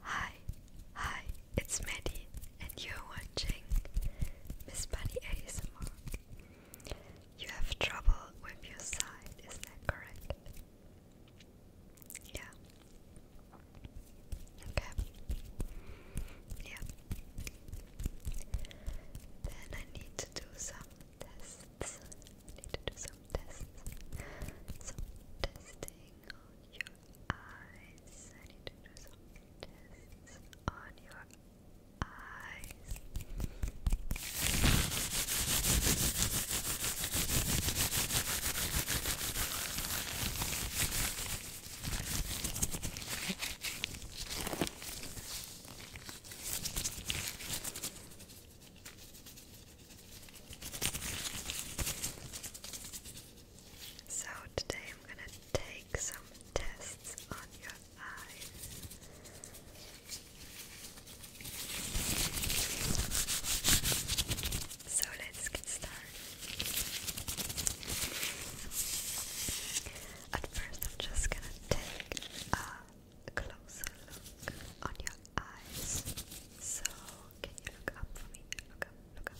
Hi, hi, it's Maddie, and you're watching Miss Bunny ASMR. You have trouble with your side, is that correct? Yeah. Okay. Yeah. Then I need to do some tests. need to do some tests. Some testing tingle your eyes. I need to on your eyes. So today I'm going to take some tests on your eyes. So let's get started. At first I'm just going to take a closer look on your eyes. So, can you look up for me? Look up, look up.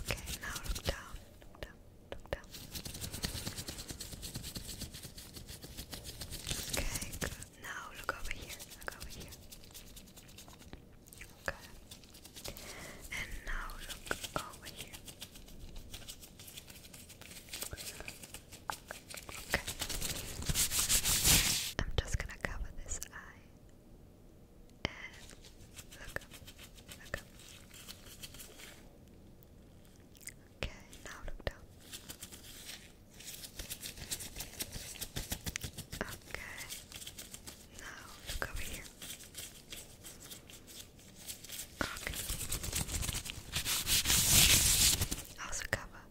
Okay, now look down, look down, look down. Okay, Now look over here, look over here. Okay. And now look over here. Okay. I'm just gonna cover this eye. look up, look up. Okay, now look down. Okay, now look over here. Cock. Also cover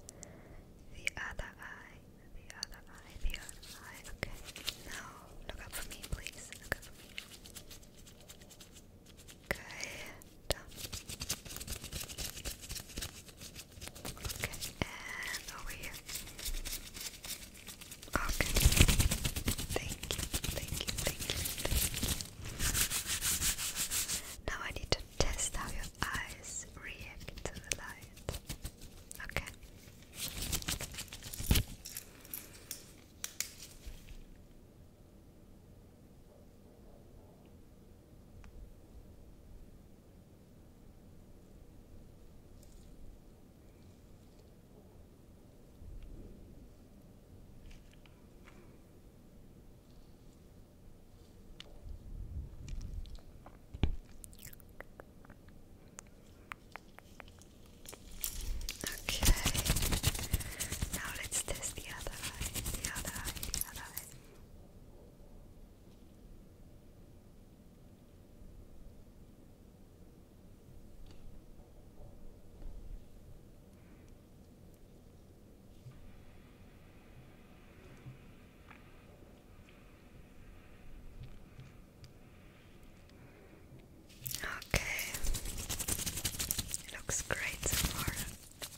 the other eye, the other eye, the other eye. Okay. Now look up for me, please. Look up for me. Okay. Done. Okay. And over here. Okay. Thank you. Thank you. Thank you. Thank you. Now I need to test how your eyes react to the light. Okay. Okay. Now let's test the other eye. The other eye. The other eye. Okay, looks great so far.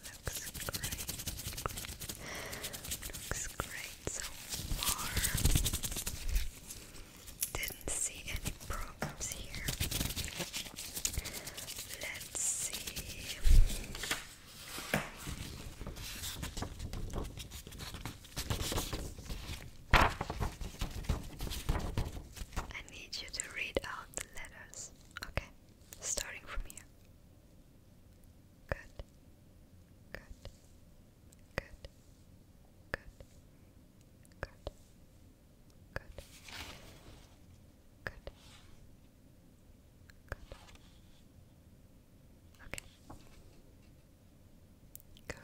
Looks great. Looks great so far. Didn't see any problems here. Let's see. I need you to read out the letters. Okay, starting from here. Good. Good. Good. Good. Good. Good. Good. Good. Okay. Good.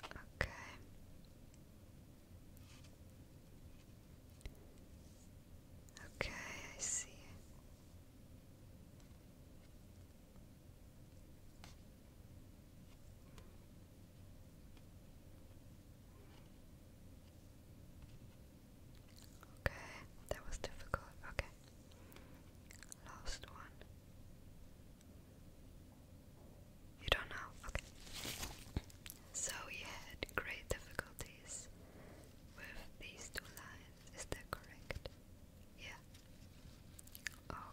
Okay. Okay, I see. Okay, that was difficult. Okay. Last one. You don't know? Okay. So you had great difficulties with these two lines, is that correct? Yeah. Oh,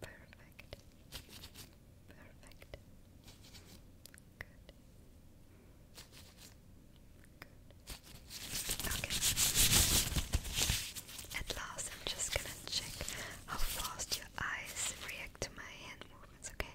Perfect. Perfect. Good. Okay. At last, I'm just gonna check how fast your eyes react to my hand movements, okay?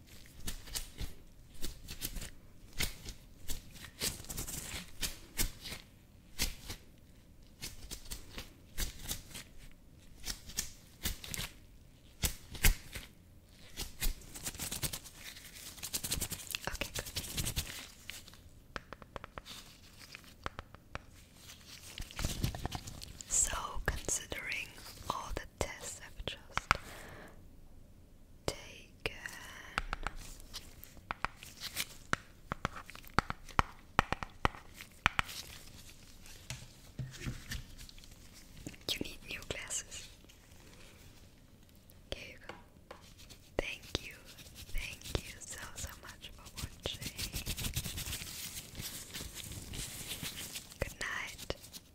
Okay, So, considering all the tests I've just taken. You need new glasses. Here you go. Thank you, thank you so so much for watching. Good night.